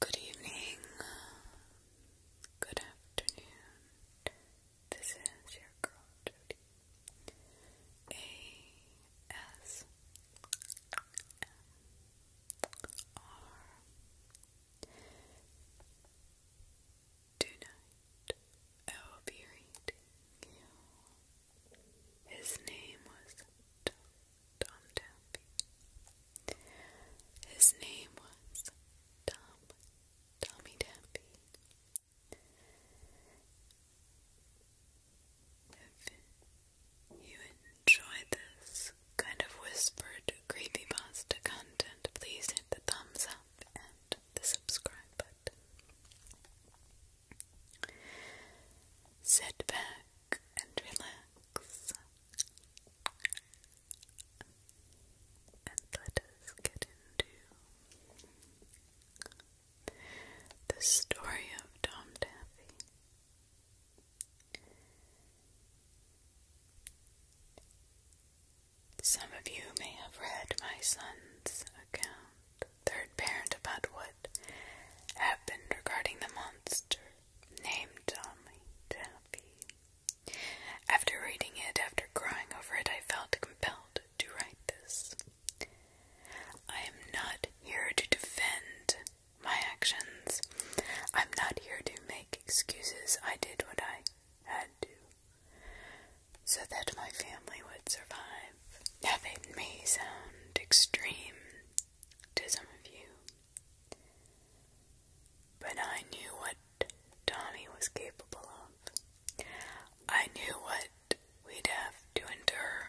Good evening, good afternoon. This is your girl Jody. A S M R. Tonight I will be reading you his name was Tom Dampy. His name was Tom Tommy Dampy. If you enjoy this kind of whispered creepypasta content, please hit the thumbs up and the subscribe button. Sit back and relax, and let us get into the story of Tom Taffy. Some of you may have read my son's account, Third Parent, about what happened regarding the monster named Tommy Taffy. After reading it, after crying over it, I felt compelled to write this. I am not here to defend my actions. I'm not here to make excuses. I did what I had to so that my family would survive. Now, that may sound extreme to some of you. But I knew what Tommy was capable of. I knew what we'd have to endure.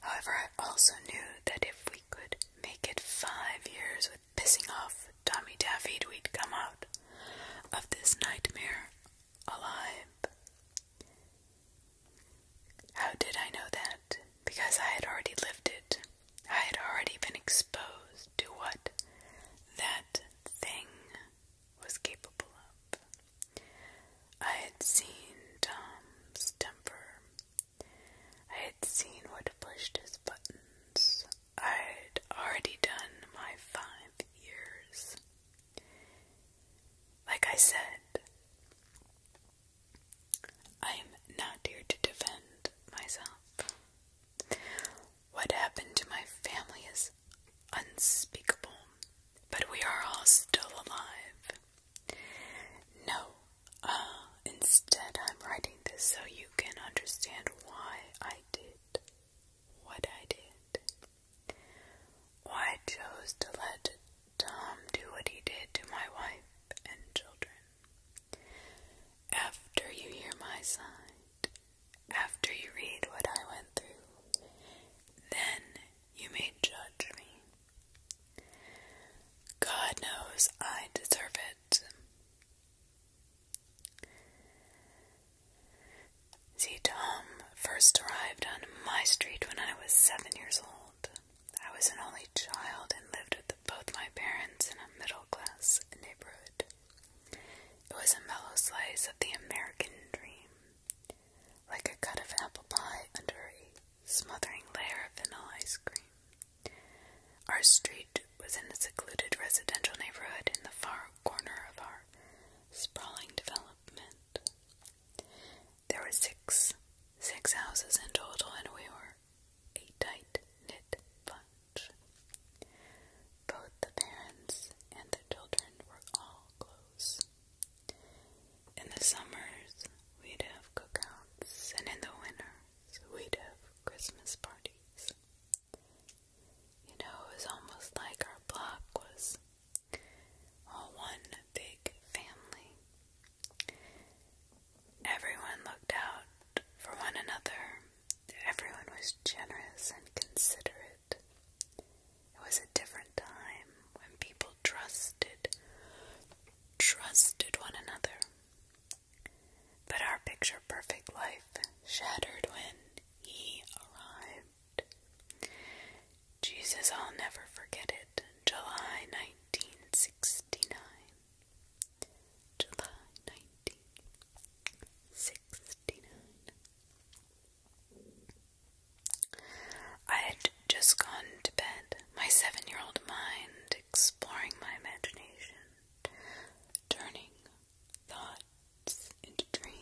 However, I also knew that if we could make it five years with pissing off Tommy David, we'd come out of this nightmare alive. How did I know that? Because I had already lived it. I had already been exposed to what that thing was capable of. I had seen Tom's temper. I had seen what pushed his buttons. I had already done my five years. Like I said, I am not here to defend myself. What happened to my family is unspeakable, but we are all still alive. No, uh, instead, I'm writing this so you can understand why I did what I did, why I chose to let Tom do what he did to my wife and children. After you hear my side, after you read what I went through, then you may judge me. God knows I deserve it. See, Tom first arrived on my street when I was seven years old. I was an only child and lived with both my parents in a middle class neighborhood. It was a mellow slice of the American dream, like a cut of apple pie under a smothering layer of vanilla ice cream. Our street was in a secluded residential neighborhood in the far corner of our sprawling development. There were six six houses in total, and we were a tight knit bunch. Both the parents and the children were all close. In the summers, we'd have cookouts, and in the winters, we'd have Christmas parties. You know, it was almost like our block was all one big family. Everyone looked out for one another. Everyone was generous and considerate. It was a different time when people trusted trusted one another. But our picture perfect life shattered when he arrived. Jesus, I'll never forget it. July 1969. July 1969. I had just gone to bed, my seven year old mind exploring my imagination, turning thoughts into dreams.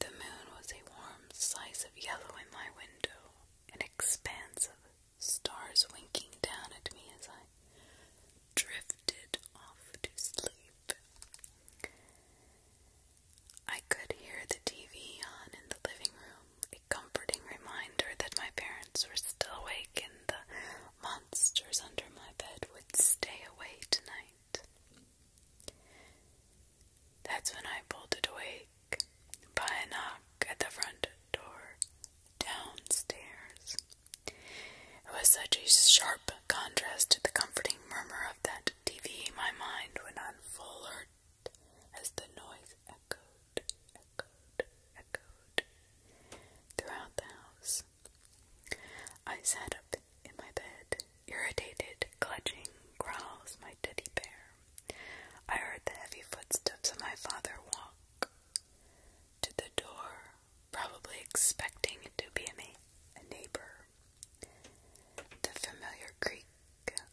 The moon was a warm slice of yellow in my window, an expanse of stars winking down at me as I drifted off to sleep. I could hear the TV on in the living room, a comforting reminder that my parents were still awake and the monsters under my bed would stay away tonight. That's when I bolted awake by a knock at the front door downstairs. It was such a sharp contrast to the comforting murmur of that TV. My mind went on full alert as the noise echoed, echoed, echoed throughout the house. I sat up in my bed irritated, clutching growls my teddy bear. I heard the heavy footsteps of my father walk to the door, probably expecting it to be a, a neighbor. The familiar creak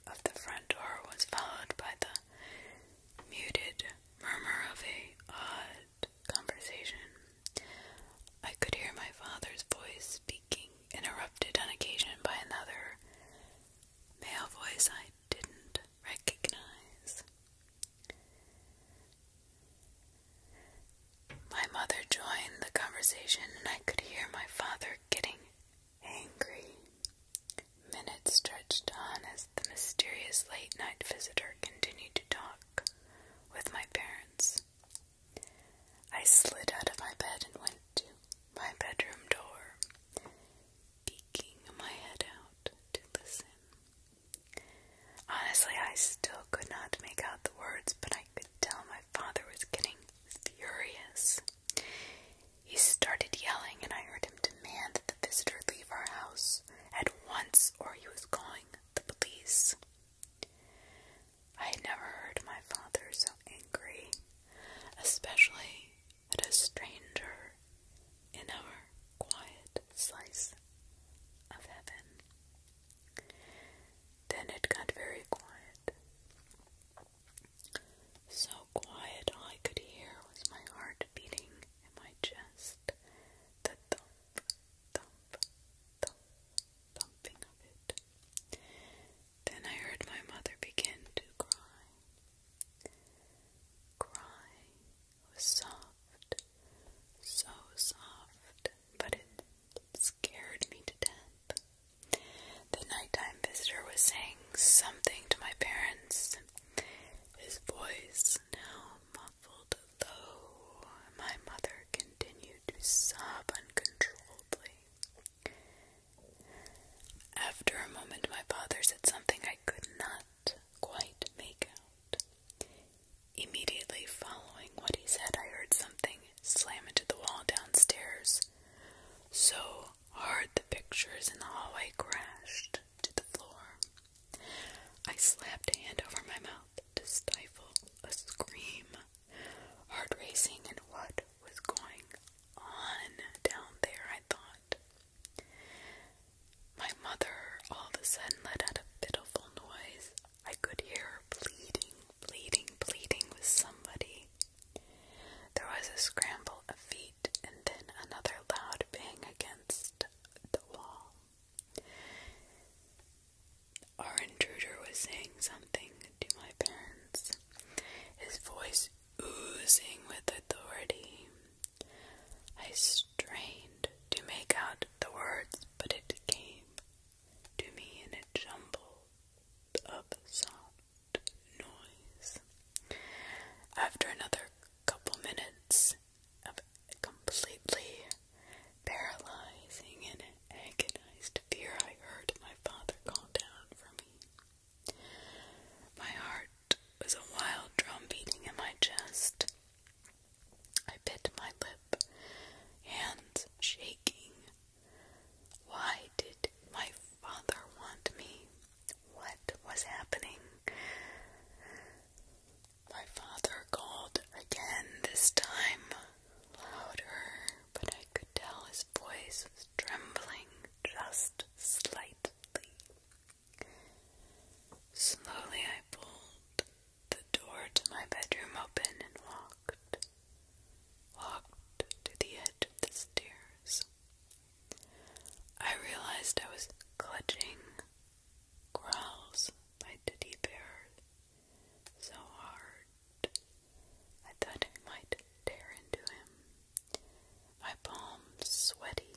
of the front door was followed by the muted murmur of a odd conversation. I could hear my father's voice speaking interrupted on occasion by another male voice I didn't recognize. My mother joined the conversation, and I could hear my father getting angry. Minutes stretched on as the mysterious late night visitor continued to talk with my parents. I slid out of my bed and went to my bedroom door, peeking my head out to listen. Honestly, I still could not make out the words, but I could tell my father was getting furious. He started yelling, and I heard him demand that the visitor leave our house at once, or he was calling the police. I had never heard my father so angry, especially at a stranger in our quiet slice of heaven. Then it got very quiet. So quiet, all I could hear was my heart beating in my chest, the thump, thump, thump, thumping of it. Then I heard my mother begin to cry. Cry was soft, so soft, but it scared me to death. The nighttime visitor was saying something to my parents. His voice now muffled low. My mother continued to sob uncontrollably. After a moment, my father said something I could not quite make out. Immediately following what he said, I heard something slam into the wall downstairs. So hard the pictures in the hallway crashed to the floor. I slapped a hand over my mouth to stifle a scream. Heart racing and what was going on down there, I thought. My mother all of a sudden let out a pitiful noise. I could hear her pleading, pleading, pleading with somebody. There was a scramble of feet and then another loud bang against the wall. Our intruder was saying something to my parents, his voice oozing with authority. I strained to make out the words, but it came to me in a jumble of soft noise. After another couple minutes of completely paralyzing and agonized fear, I heard my father call down for me. My heart was a wild drum beating in my chest. I bit my lip, hands shaking. Why did my father want me? What was happening? My father called again, this time louder but I could tell his voice was trembling just slightly. Slowly I pulled the door to my bedroom open and walked, walked to the edge of the stairs. I realized I was clutching growls by teddy bear so hard I thought I might tear into him. My palms sweaty.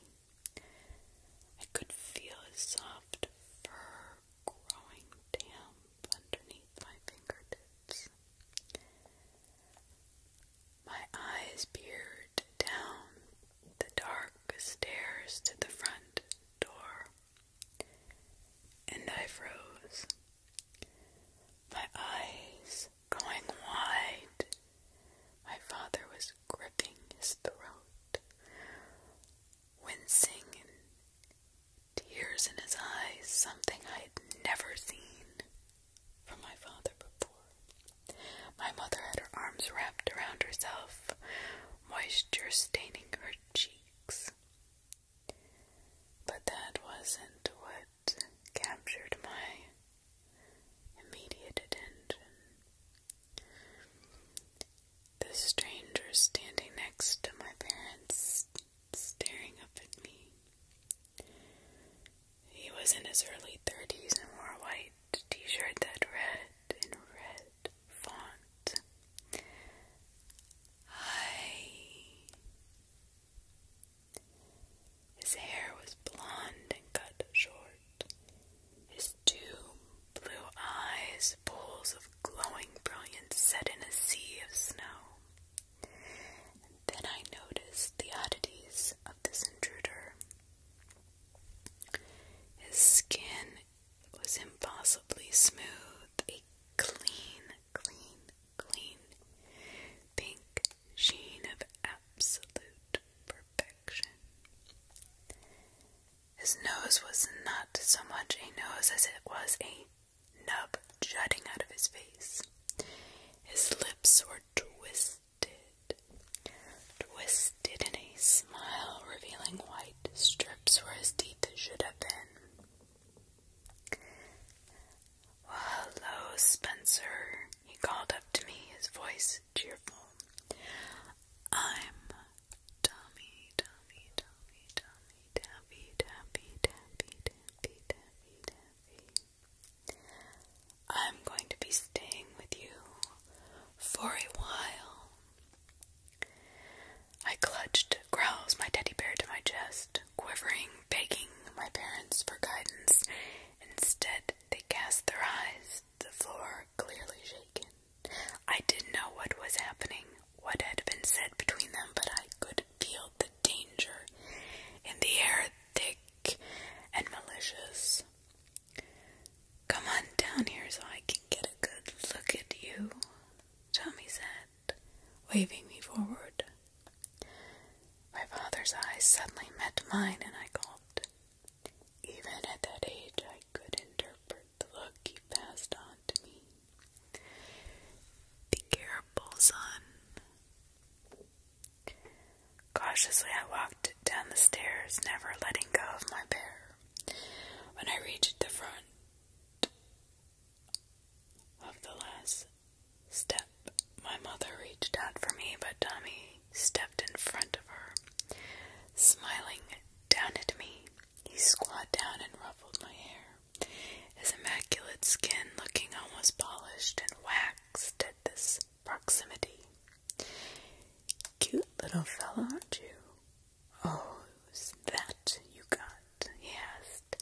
I could feel his soft fur growing damp underneath my fingertips. My eyes peered down the dark stairs to the front door, and I froze. My eyes going wide. My father was gripping his throat, wincing tears in his eyes, something I had never seen from my father before. My mother had her arms wrapped around herself, moisture staining her cheeks. But that wasn't what captured my immediate attention. The stranger standing next to my parents, staring up at me. He was in his early 30s and wore a white t shirt that read in red font. I his hair was blond and cut short. His two blue eyes, pools of glowing brilliance set in a sea of snow. And then I noticed the oddities of this intruder. His skin was impossibly smooth, a clean clean, clean, pink sheen of absolute perfection. His nose was not so much a nose as it was a nub jutting out of his face. His lips were twisted, twisted in a smile, revealing white strips where his teeth should have been hello, Spencer, he called up to me, his voice cheerful. I'm Tommy, Tommy, Tommy, Tommy, Tappy, Tappy, Tappy, Tappy, Tappy, Tappy. I'm going to be staying with you for a while. I clutched Growls, my teddy bear, to my chest quivering, begging my parents for guidance. Instead, they cast their eyes, the floor clearly shaken. I didn't know what was happening, what had been said between them, but I could feel the danger in the air, thick and malicious. Come on down here so I can get a good look at you, Tommy said waving me forward. My father's eyes suddenly met mine, and I gulped. Even at that age, I could interpret the look he passed on to me. The careful, son. Cautiously, I walked down the stairs, never letting go of my bear. When I reached the front of the last step. My mother reached out for me, but Tommy stepped in front of her, smiling down at me. He squatted down and ruffled my hair, his immaculate skin looking almost polished and waxed at this proximity. Cute little fellow, aren't you? Oh, that you got he asked,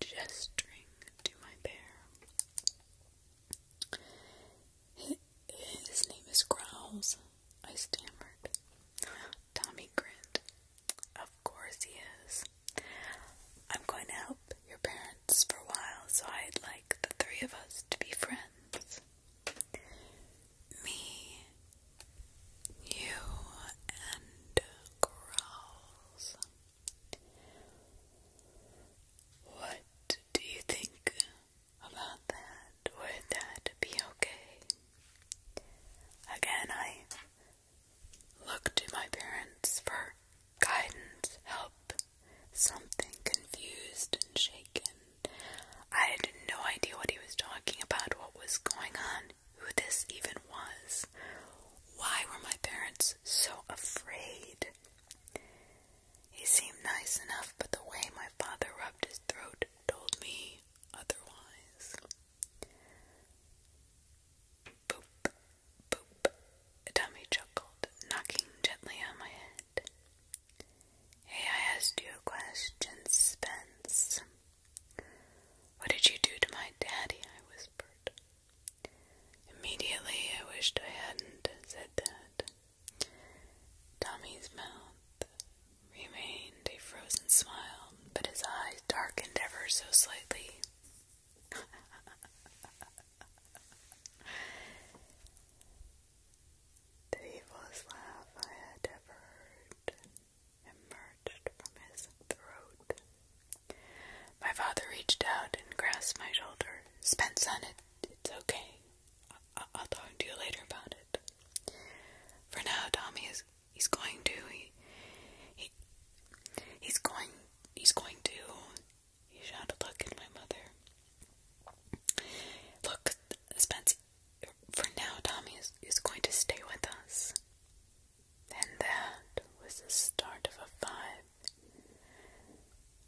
gesturing to my bear. His name is Growls, I stammered. Tommy grinned. Of course he is. I'm going to help your parents for a while, so I'd like the three of us to be friends. Me, you and Growls. What do you think about that? Would that be okay? Again, I look to my parents for guidance, help, something confused and shaken. I had no idea what he was talking about, what was going on who this even was. Why were my parents so afraid? He seemed nice enough, but the way my father rubbed his throat told me otherwise. Boop, boop, Dummy chuckled, knocking gently on my head. Hey, I asked you a question, Spence. What did you do to my daddy? I whispered. Immediately, I wished I hadn't said that. Tommy's mouth remained a frozen smile, but his eyes darkened ever so slightly. the evilest laugh I had ever heard emerged from his throat. My father reached out and grasped my shoulder. Spence It's okay. I will talk to you later about it. For now, Tommy is he's going to he, he's going he's going to he shot a look at my mother. Look, Spence for now Tommy is, is going to stay with us. And that was the start of a five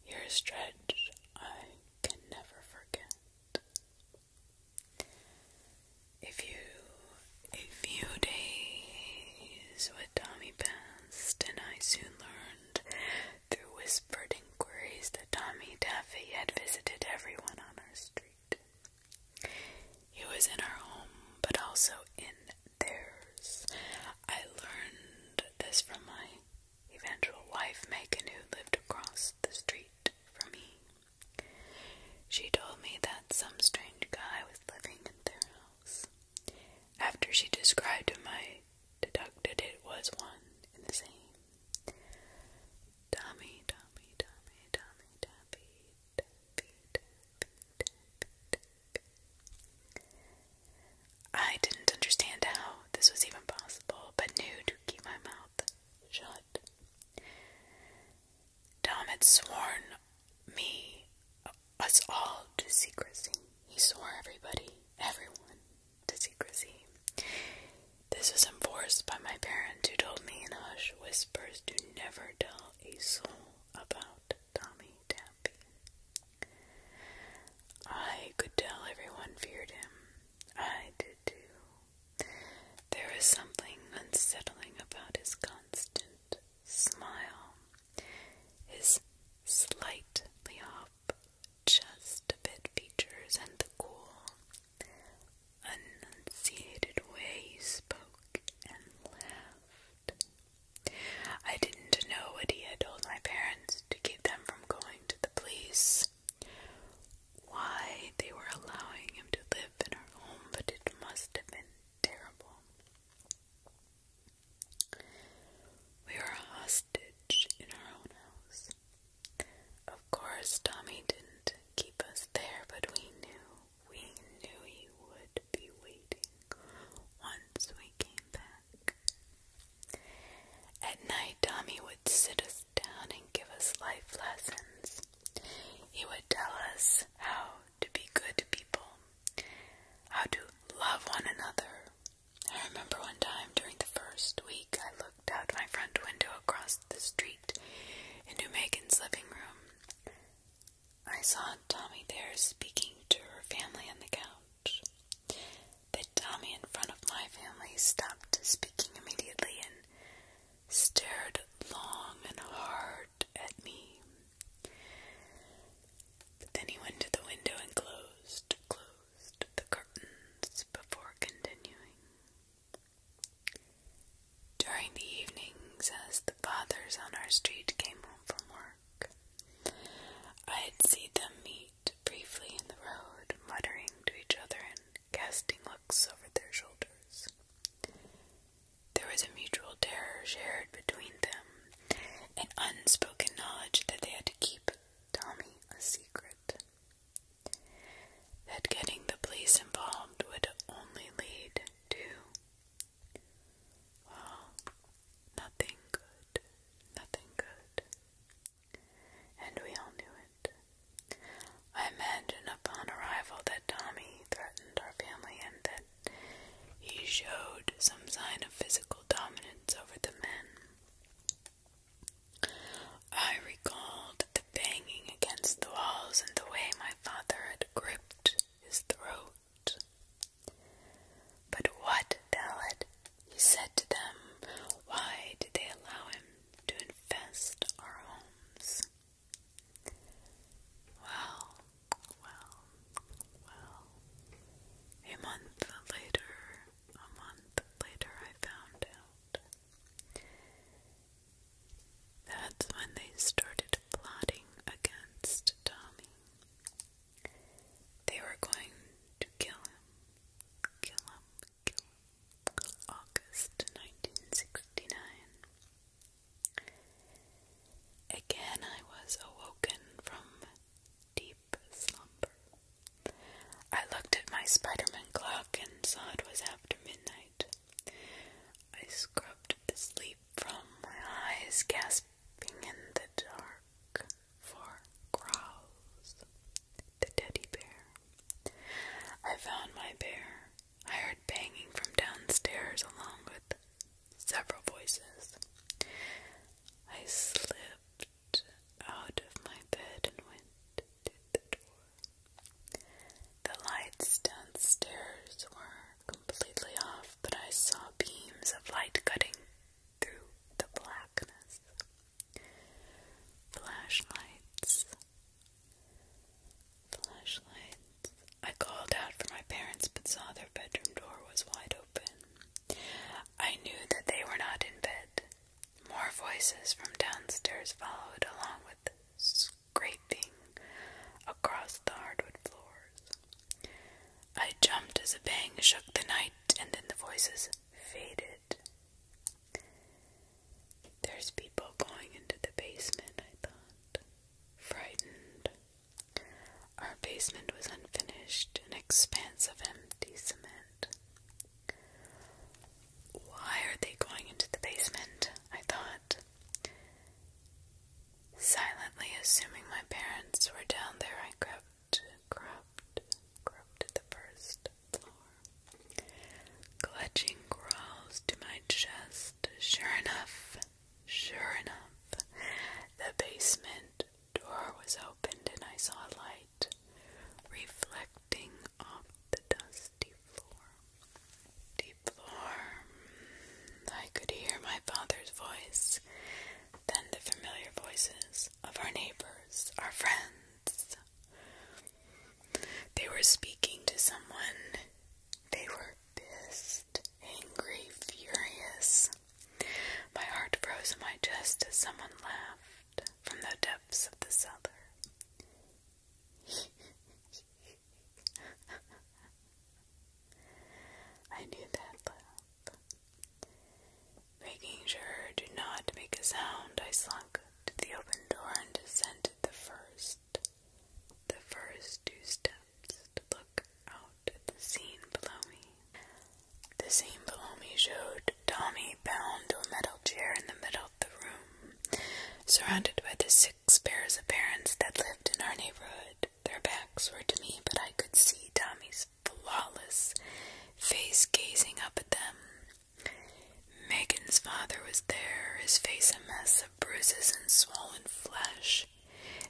year stretch I can never forget. If you a few days with Tommy passed, and I soon learned through whispered inquiries that Tommy Daffy had visited everyone on our street. He was in our home, but also in theirs. I learned this from my eventual wife, Megan, who lived across the street from me. She told me that some strange guy was living in their house. After she described him, I deducted it was one in the same. Tommy, Tommy, Tommy, Tommy, Tommy, I didn't understand how this was even possible, but knew to keep my mouth shut. Tom had sworn me, us all, to secrecy. He swore everybody, everyone, to secrecy. This was enforced by my parents, who told me in hush whispers to never tell a soul about Tommy Tappy. I could tell everyone feared him. I did too. There is something unsettling about his constant smile, his slightly off a bit features, and the cool, enunciated way he spoke and laughed. I didn't know what he had told my parents to keep them from going to the police. Why they were allowing him to live in our home, but it must have been terrible. We were a hostage in our own house. Of course, Tommy didn't keep us there, but we knew we knew he would be waiting once we came back. At night, Tommy would sit us down and give us life lessons. He would tell us how to be good people, how to love one another. I remember one time during the first week, I looked out my front window across the street into Megan's living room I saw Tommy there speaking to her family on the couch. But Tommy, in front of my family, stopped speaking immediately and stared long and hard at me. But then he went to the window and closed, closed the curtains before continuing. During the evenings, as the fathers on our street came home from work, i had seen them meet briefly in the road, muttering to each other and casting looks over their shoulders. There was a mutual terror shared between them, an unspoken knowledge that they had to keep Tommy a secret that getting the police involved would only lead to, nothing good, nothing good. And we all knew it. I imagine upon arrival that Tommy threatened our family and that he showed some sign of physical dominance over the men. I recall the banging against the walls and the way my father had gripped his throat. But what, Dalad? He said to them, why did they allow him to infest our homes? Well, well, well. A month later, a month later, I found out. That's when they started plotting against Tommy. They were going to kill him, kill him, kill him. August 1969. Again, I was awoken from deep slumber. I looked at my Spiderman clock and saw it was after midnight. I scrubbed the sleep from my eyes, gasping in the dark for growls. The teddy bear. I found my bear. I heard banging from downstairs along with several voices. I slipped out of my bed and went to the door. The lights downstairs were completely off, but I saw beams of light cutting through the blackness. Flashlights. Flashlights. I called out for my parents but saw their bedroom door was wide open. I knew that they were not in bed. More voices from downstairs followed, along with scraping across the hardwood floors. I jumped as a bang shook the night, and then the voices faded. There's people going into the basement, I thought, frightened. Our basement was unfinished, an expanse of empty cement. Why are they going into the basement? I thought. Silently assuming my parents were down there, I crept, crept, crept to the first floor, clutching crawls to my chest. Sure enough, sure enough, the basement door was opened and I saw a light reflected off the dusty floor. Deep floor. I could hear my father's voice, then the familiar voices of our neighbors, our friends. They were speaking to someone. They were pissed, angry, furious. My heart froze in my chest as someone laughed from the depths of the cellar. I do that Making sure to not make a sound, I slunk to the open door and descended the first, the first two steps to look out at the scene below me. The scene below me showed Tommy bound to a metal chair in the middle of the room, surrounded by the six six pairs of parents that lived in our neighborhood. Their backs were to me, but I could see Tommy's flawless face gazing up at them. Megan's father was there, his face a mess of bruises and swollen flesh.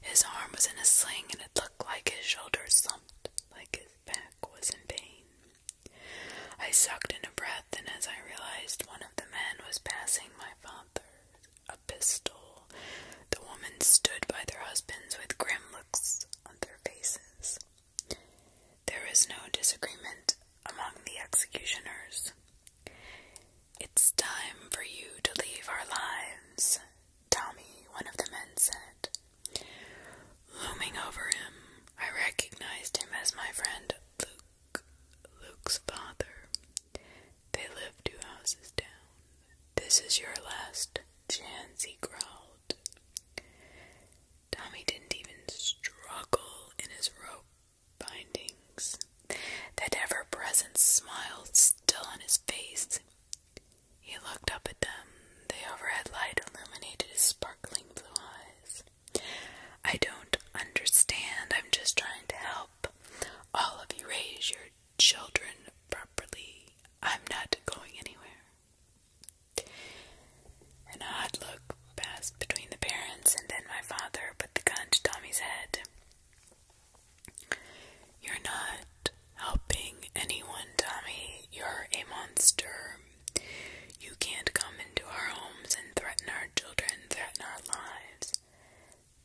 His arm was in a sling, and it looked like his shoulder slumped, like his back was in pain. I sucked in a breath then, as I realized, one of the men was passing my father a pistol. The women stood by their husbands with grim looks on their faces. There was no disagreement among the executioners. It's time for you to leave our lives, Tommy, one of the men said. Looming over him, I recognized him as my friend Luke's father. They live two houses down. This is your last chance, he growled. Tommy didn't even struggle in his rope bindings. That ever present smile still on his face. He looked up at them. The overhead light illuminated his sparkling blue eyes. I don't understand. I'm just trying to help all of you raise your children properly. I'm not going anywhere. An odd look passed between the parents, and then my father put the gun to Tommy's head. You're not helping anyone, Tommy. You're a monster. You can't come into our homes and threaten our children, threaten our lives.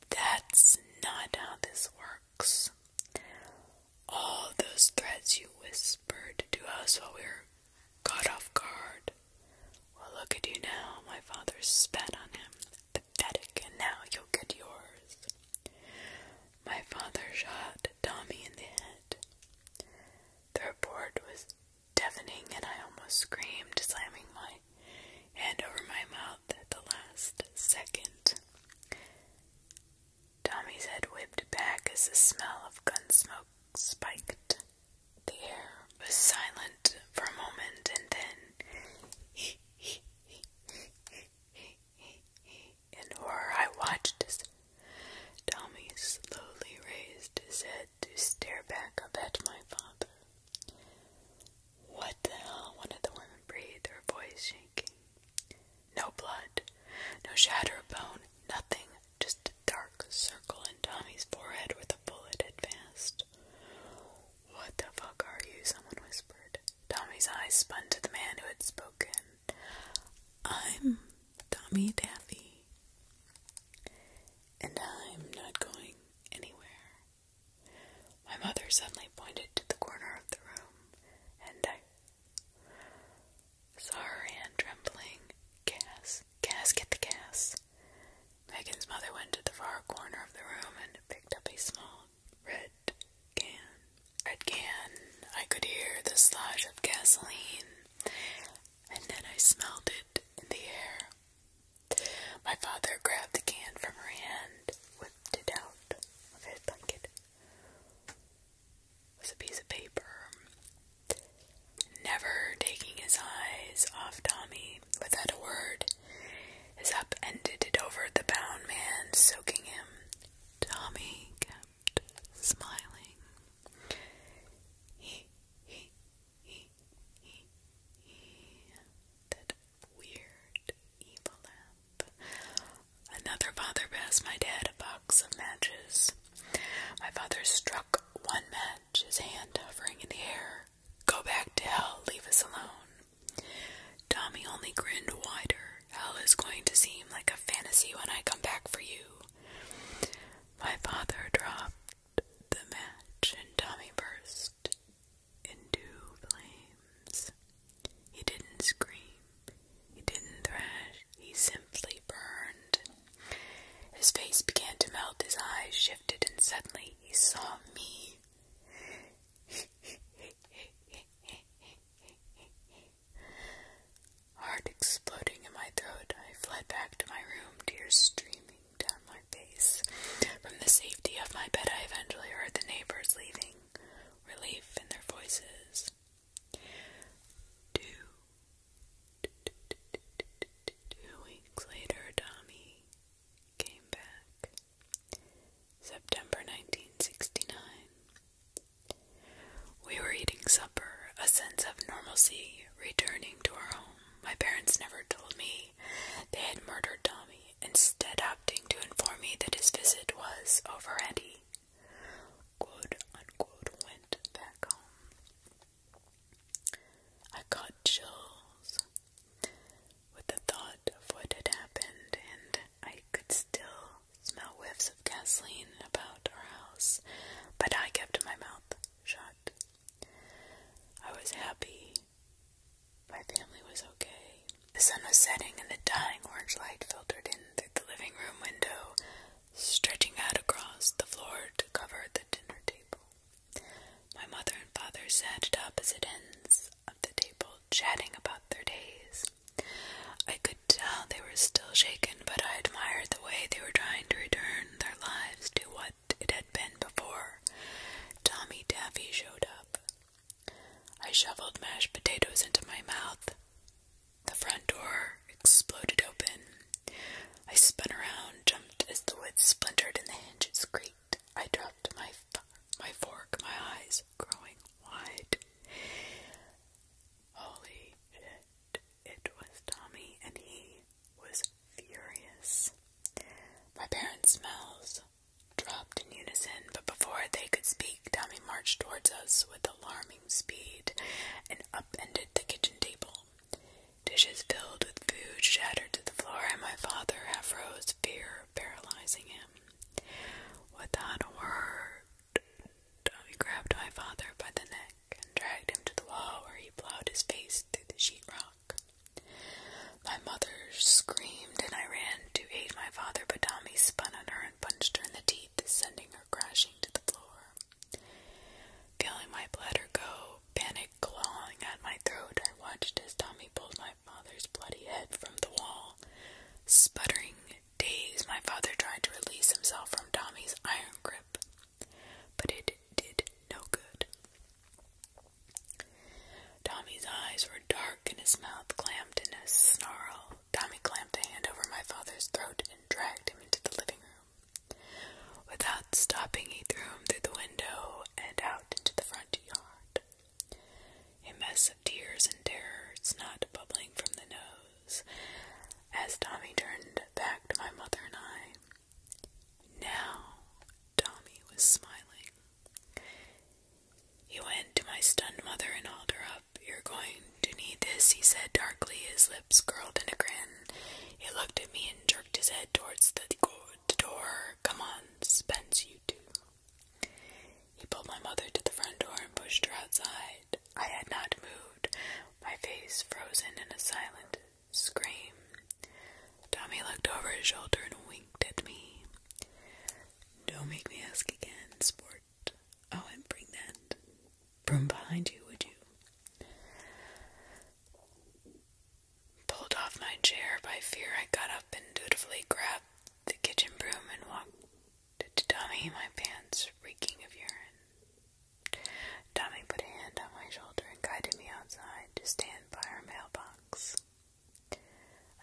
That's not how this works. All those threats you whispered to us while we were caught off guard. Well, look at you now. My father spat on him. Pathetic, and now you'll get yours. My father shot Tommy in the head. The report was deafening, and I almost screamed, slamming my hand over my mouth at the last second. Tommy's head whipped back as the smell of gun smoke spiked. The air was silent for a moment, and then, in horror, I watched as Tommy slowly raised his head to stare back up at my father. What the hell? One of the women breathed, her voice shaking. No blood, no shatter of bone, nothing, just a dark circle in Tommy's forehead where the bullet advanced. What the fuck are you? Someone whispered. Tommy's eyes spun to the man who had spoken. I'm Tommy Daffy and I'm not going anywhere. My mother suddenly pointed to the corner of the room, and I saw her hand trembling. Gas, gas, get the gas. Megan's mother went to the far corner of the room and picked up a small red can. Red can. I could hear the slosh of gasoline and then I smelled it in the air. My father grabbed the can from her hand, whipped it out of his blanket. It was a piece of paper. Never taking his eyes off Tommy without a word, his upended it over the bound man, soaking him. Tommy kept smiling. He, he, that weird evil lamp. Another father passed my dad a box of matches. My father struck one match, his hand hovering in the air. Go back to hell, leave us alone. Tommy only grinned wider. Hell is going to seem like a fantasy when I come back for you. My father dropped the match, and Tommy burst into flames. He didn't scream, he didn't thrash, he simply burned. His face began to melt, his eyes shifted, and suddenly he saw me. Hard exploding in my throat. I fled back to my room, tears streaming down my face. From the safety of my bed, I eventually heard the neighbors leaving, relief in their voices. Two, weeks later, Tommy came back. September 1969. We were eating supper, a sense of normalcy returning to our home. My parents never told me they had murdered Tommy, instead opting to inform me that his visit was over and he went back home. I got chills with the thought of what had happened, and I could still smell whiffs of gasoline about our house, but I kept my mouth shut. I was happy. My family was okay. The sun was setting, and the dying orange light filtered in through the living room window, stretching out across the floor to cover the dinner table. My mother and father sat at opposite ends of the table, chatting about their days. I could tell they were still shaken, but I admired the way they were trying to return their lives to what it had been before Tommy Daffy showed up. I shoveled mashed potatoes into my mouth. The front door exploded open. I spun around, jumped as the wood splintered and the hinges creaked. I dropped my my fork, my eyes growing wide. Holy shit. It was Tommy, and he was furious. My parents' mouths dropped in unison, but before they could speak, Tommy marched towards us with alarming speed and upended the kitchen table. Dishes filled with food shattered to the floor, and my father half fear paralyzing him. Without a word, Tommy grabbed my father by the neck and dragged him to the wall where he plowed his face through the sheetrock. My mother screamed, and I ran to aid my father, but Tommy spun on her and punched her in the teeth, sending her crashing to the floor. Feeling my bladder go, panic clawing at my throat, I watched as Tommy pulled my father's bloody head from the wall. Sputtering, dazed, my father tried to release himself from Tommy's iron grip but it did no good. Tommy's eyes were dark and his mouth clamped in a snarl. Tommy clamped a hand over my father's throat and dragged him into the living room. Without stopping, he threw him through the window and out into the front yard. A mess of tears and terror, not bubbling from the nose. As Tommy turned back to my mother and I, now, Tommy was smiling. He went to my stunned mother and hauled her up. You're going to need this, he said darkly, his lips curled in a grin. He looked at me and jerked his head towards the door. Come on, Spence, you too. He pulled my mother to the front door and pushed her outside. I had not moved, my face frozen in a silent scream. Tommy looked over his shoulder and winked at me. Don't make me ask again, sport. Oh, and bring that from behind you, would you? Pulled off my chair by fear, I got up and dutifully grabbed the kitchen broom and walked to Tommy, my pants reeking of urine. Tommy put a hand on my shoulder and guided me outside to stand by our mailbox.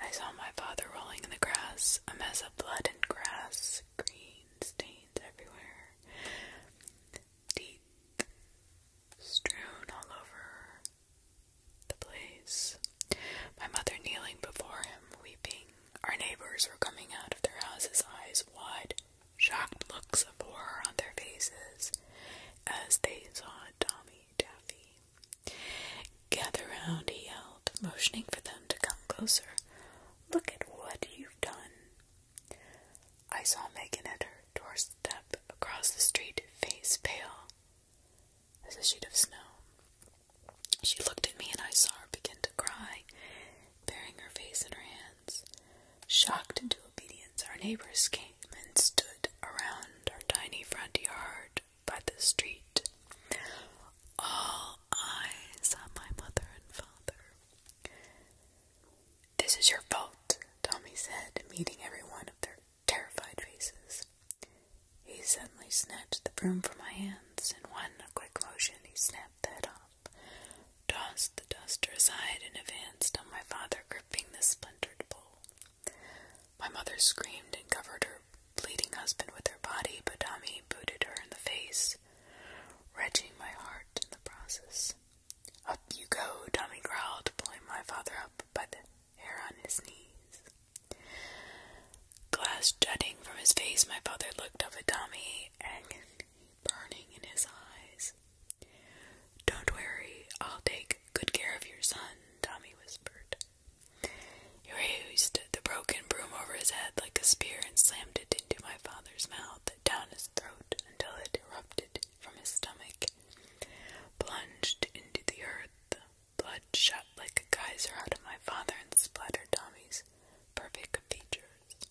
I saw my father rolling in the grass, a mess of blood and grass, green stains everywhere, teeth strewn all over the place. My mother kneeling before him, weeping. Our neighbors were coming out of their houses, eyes wide shocked looks of horror on their faces as they saw Tommy Taffy. Gather round, he yelled, motioning for them to come closer. Look at what you've done. I saw Megan at her step across the street, face pale as a sheet of snow. She looked at me, and I saw her begin to cry, burying her face in her hands. Shocked into obedience, our neighbors came and stood around our tiny front yard by the street. All eyes on my mother and father. This is your fault, Tommy said, meeting every one of their terrified faces. He suddenly snatched the broom from my hands. and In one quick motion, he snapped that off. Dust the duster aside and advanced on my father, gripping the splintered pole. My mother screamed and covered her bleeding husband with her body, but Tommy booted her in the face, wrenching my heart in the process. Up you go, Tommy growled, pulling my father up by the hair on his knees. Glass jutting from his face, my father looked up at Tommy and burning in his eyes. Don't worry, I'll take good care of your son, Tommy whispered. He raised the broken broom over his head like a spear and slammed it into my father's mouth, down his throat until it erupted from his stomach, plunged into the earth. Blood shot like a geyser out of my father and splattered Tommy's perfect features.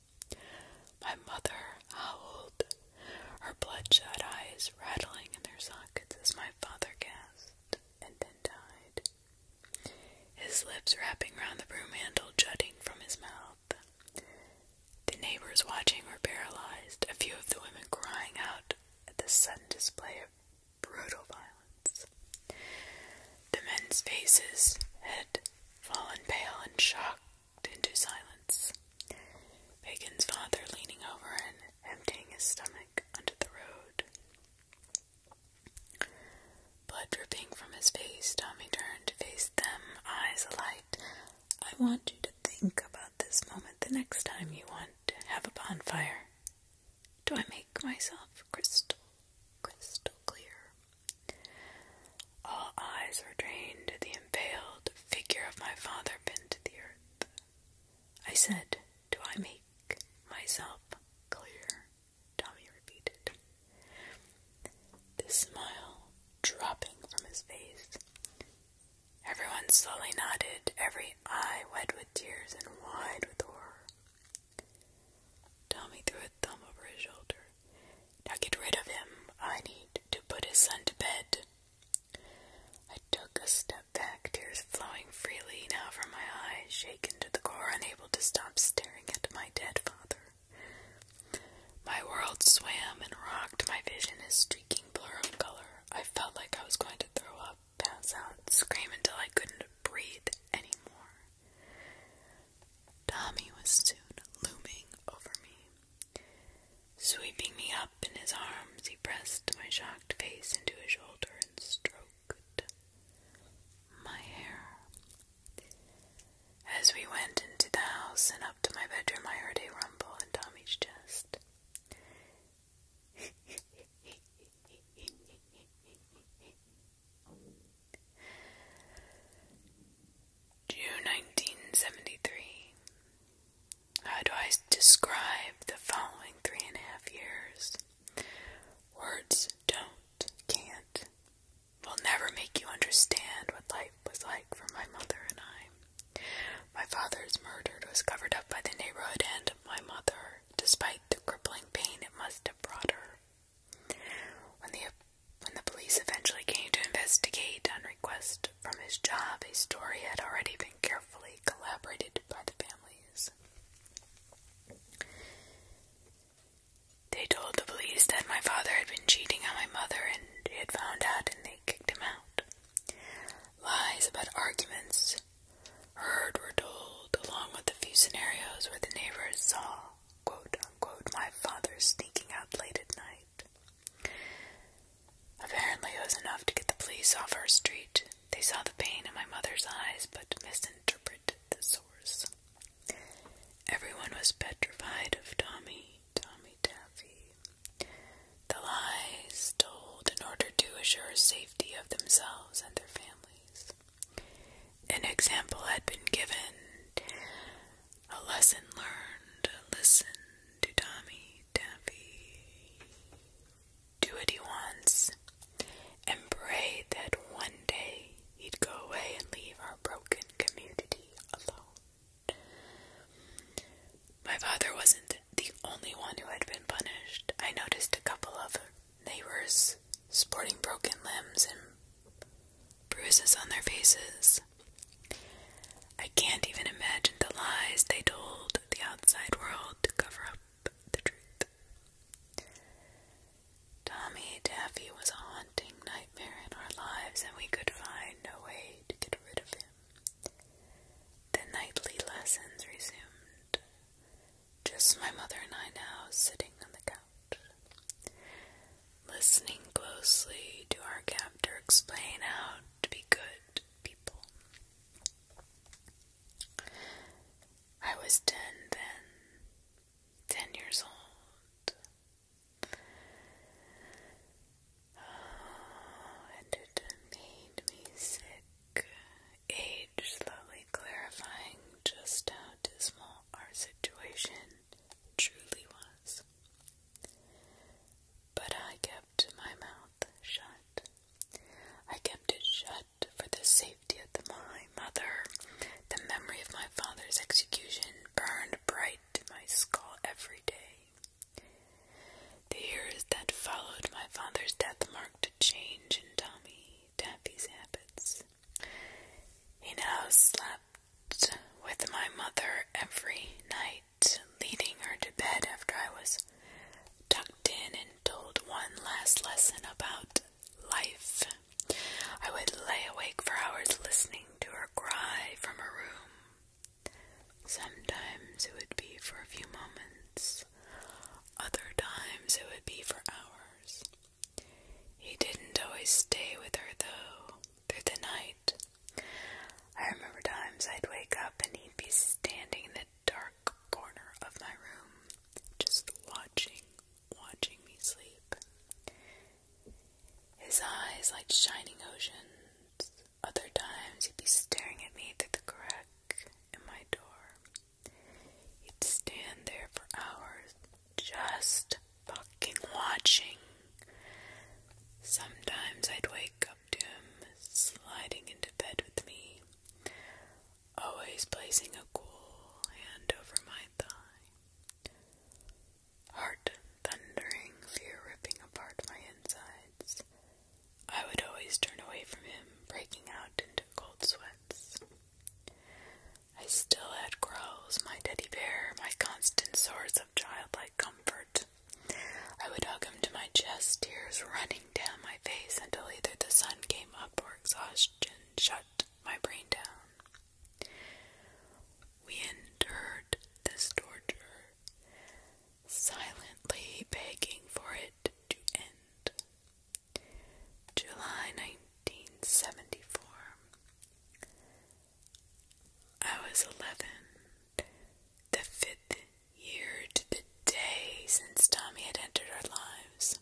My mother howled, her bloodshot eyes rattling in their sockets as my father gasped and then died, his lips wrapping round the broom handle, jutting from his mouth. The neighbors watching were paralyzed, a few of the women crying out at the sudden display of brutal violence. The men's faces had fallen pale in shock into silence. Bacon's father leaning over and emptying his stomach onto the road. Blood dripping from his face, Tommy turned to face them, eyes alight. I want you to think about this moment the next time you want to have a bonfire. Do I make myself crystal, crystal clear? All eyes were trained the impaled figure of my father bent to the earth. I said, Do I make myself clear? Tommy repeated, the smile dropping from his face. Everyone slowly nodded, every eye wet with tears and wide with horror. Tommy threw a thumb over his shoulder. Now get rid of him. I need to put his son to bed. I took a step back, tears flowing freely now from my eyes, shaken to the core, unable to stop staring at my dead father. My world swam and rocked, my vision a streaking blur of color. I felt like I was going to throw up, pass out, scream until I couldn't breathe anymore. Tommy was soon looming over me. Sweeping me up in his arms, he pressed my shocked face into his shoulder and stroked my hair. As we went into the house and up to my bedroom, I heard a rumble in Tommy's chest. June 1973. How do I describe the following three and a half years? Words don't, can't, will never make you understand what life was like for my mother and I. My father's murder was covered up by the neighborhood and my mother, despite the crippling pain it must have brought her. When the when the police eventually came to investigate on request from his job, a story had already been carefully collaborated by the families. They told the police that my father had been cheating on my mother and he had found out and they kicked him out. Lies about arguments heard were told, along with a few scenarios where the neighbors saw quote unquote my father sneaking out late at night. Apparently, it was enough to get the police off our street. They saw the pain in my mother's eyes but misinterpreted the source. Everyone was petrified of Tommy, Tommy Taffy. The lies told in order to assure safety of themselves and their families. An example had been given a lesson learned. Listen to Tommy Taffy. Do what he wants and pray that one day he'd go away and leave our broken community alone. My father wasn't the only one who had been punished. I noticed a couple of neighbors sporting broken limbs and bruises on their faces. I can't even imagine the lies they told the outside world to cover up the truth. Tommy Daffy was a haunting nightmare in our lives, and we could find no way to get rid of him. The nightly lessons resumed. Just my mother and I now sitting on the couch. Listening closely to our captor explain how to be good people. I was ten then, ten years old. and it made me sick. Age slowly clarifying just how dismal our situation truly was. But I kept my mouth shut. I kept it shut for the safety of my mother. The memory of my father's execution burned bright in my skull every day. The years that followed my father's death marked a change in Tommy Taffy's habits. He now slept with my mother every night, leading her to bed after I was tucked in and told one last lesson about life. I would lay awake for hours listening to her cry from her room. Sometimes it would be for a few moments, other times it would be for hours. He didn't always stay with her, though, through the night. I remember times I'd wake up and he'd be standing in the dark corner of my room, just watching, watching me sleep. His eyes like shining oceans. Other times he'd be staring at me through the crack in my door. He'd stand there for hours, just fucking watching. Sometimes I'd wake up to him sliding into bed with me, always placing a cool hand over my thigh. Heart thundering, fear ripping apart my insides. I would always turn away from him, breaking out into cold sweats. I still had Growls, my teddy bear, my constant source of childlike comfort. I would hug him to my chest, tears running down my face until either the sun came up or exhaustion shut my brain down. We endured this torture, silently begging for it to end. July 1974. I was eleven, the fifth year to the day since Tommy had entered our lives.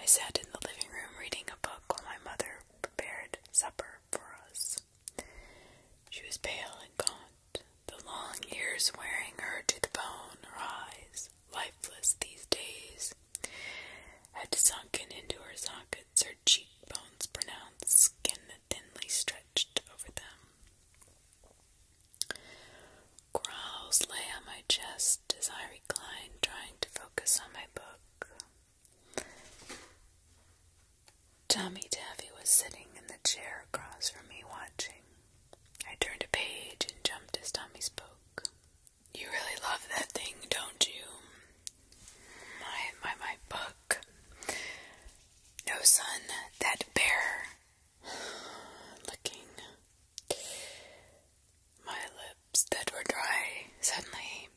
I sat in the living room reading a book while my mother prepared supper for us. She was pale and gaunt, the long years wearing her to the bone, her eyes lifeless these days, had sunken into her sockets, her cheekbones pronounced, skin that thinly stretched over them. Growls lay on my chest as I reclined, trying to focus on my book. Tommy Davy was sitting in the chair across from me, watching. I turned a page and jumped as Tommy spoke. You really love that thing, don't you? My, my, my book. No, son, that bear. Licking my lips that were dry. Suddenly,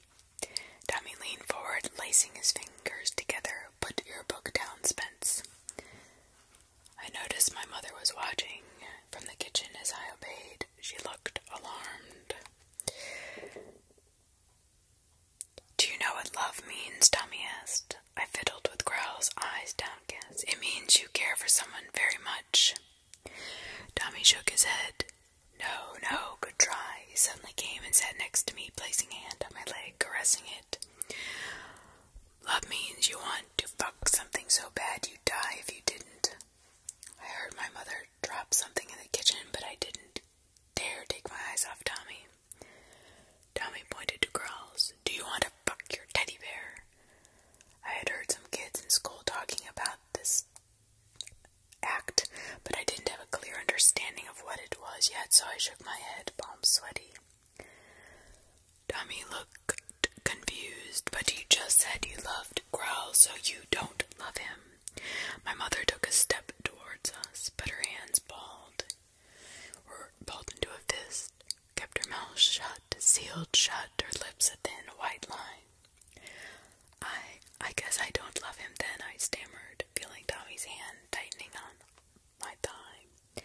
Tommy leaned forward, lacing his fingers together. Put your book down, Spence. I noticed my mother was watching from the kitchen as I obeyed she looked alarmed. Do you know what love means? Tommy asked. I fiddled with Growl's eyes downcast. It means you care for someone very much. Tommy shook his head. No, no, good try. He suddenly came and sat next to me, placing a hand on my leg, caressing it. Love means you want to fuck something so bad you'd die if you didn't. I heard my mother drop something in the kitchen, but I didn't dare take my eyes off Tommy. Tommy pointed to girls. Do you want to fuck your teddy bear? I had heard some kids in school talking about this act, but I didn't have a clear understanding of what it was yet, so I shook my head, palms sweaty. Tommy looked confused, but he just said you loved growl so you don't love him. My mother took a step towards us, but her hands balled, or balled into a fist, kept her mouth shut, sealed shut, her lips a thin white line. I, I guess I don't love him then, I stammered, feeling Tommy's hand tightening on my thigh.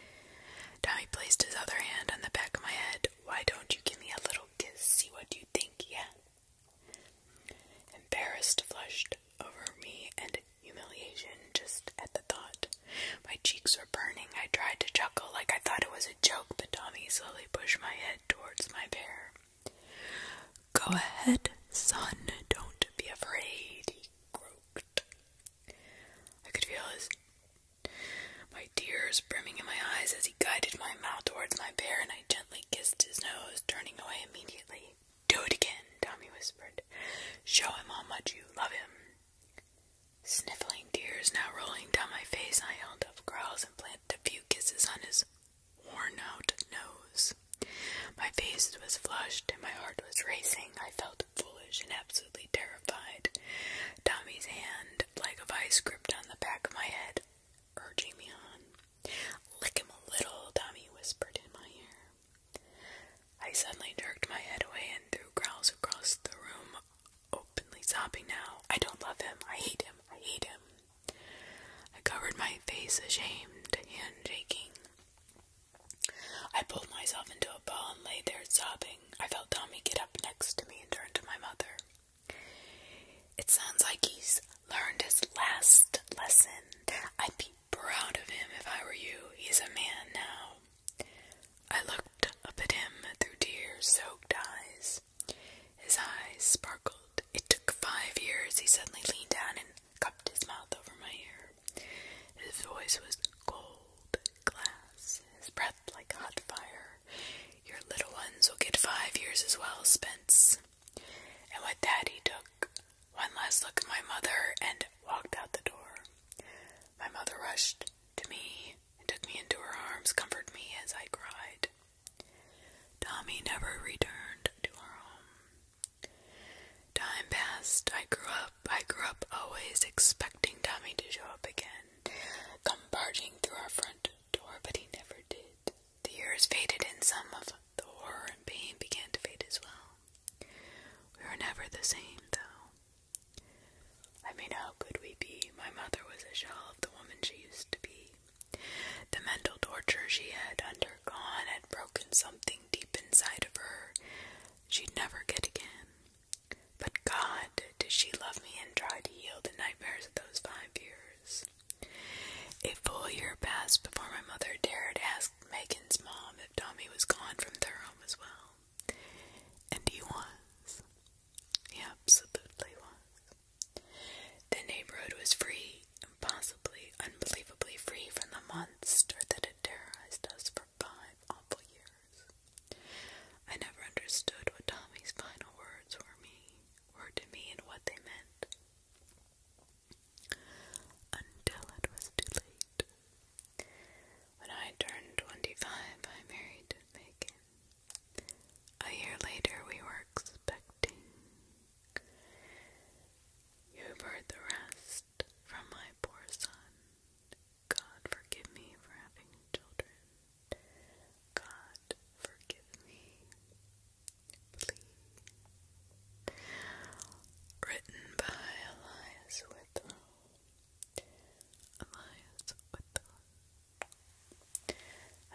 Tommy placed his other hand on the back of my head. Why don't you give me a little kiss, see what you think yet? Embarrassed flushed over me and humiliation just at the thought. My cheeks were burning. I tried to chuckle like I thought it was a joke, but Tommy slowly pushed my head towards my bear. Go ahead, son, don't be afraid, he croaked. I could feel his my tears brimming in my eyes as he guided my mouth towards my bear, and I gently kissed his nose, turning away immediately. Do it again, Tommy whispered. Show him how much you love him. Sniffling tears now rolling down my face, I held up growls and planted a few kisses on his worn out nose. My face was flushed and my heart was racing. I felt foolish and absolutely terrified. Tommy's hand, like a vice gripped on the back of my head, urging me on. Lick him a little, Tommy whispered in my ear. I suddenly jerked my head away and threw growls across the room, openly sobbing now. I don't love him. I hate him. I hate him. I covered my face, ashamed, and shaking. I pulled myself into a ball and lay there sobbing. I felt Tommy get up next to me and turn to my mother. It sounds like he's learned his last lesson. I'd be proud of him if I were you. He's a man now. I looked up at him through tear soaked eyes. His eyes sparkled. It took five years. He suddenly leaned down and cupped his mouth over my ear. His voice was cold glass, his breath like hot fire. Your little ones will get five years as well, Spence. And with that, he took one last look at my mother and walked out the door. My mother rushed to me and took me into her arms, comforted me as I cried. Tommy never returned to our home. Time passed. I grew up. I grew up always expecting Tommy to show up again, come barging through our front but he never did. The years faded, and some of the horror and pain began to fade as well. We were never the same, though. I mean, how could we be? My mother was a shell of the woman she used to be. The mental torture she had undergone had broken something deep inside of her she'd never get again. But God did She Love Me and try to heal the nightmares of those five years. A full year passed before my mother dared ask Megan's mom if Tommy was gone from their home as well. And he was. He absolutely was. The neighborhood was free, and possibly unbelievably free from the monster that had terrorized us for five awful years. I never understood what Tommy's final words were mean were to me and what they meant. Until it was too late. When I turned 25, I married Megan. A year later, we were expecting. You've heard the rest from my poor son. God forgive me for having children. God, forgive me, please. Written by Elias Whitlow. Elias Whitlow.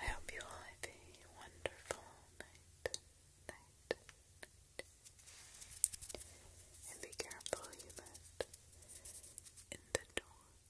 I hope you all have a wonderful night. Night. And be careful you in the door.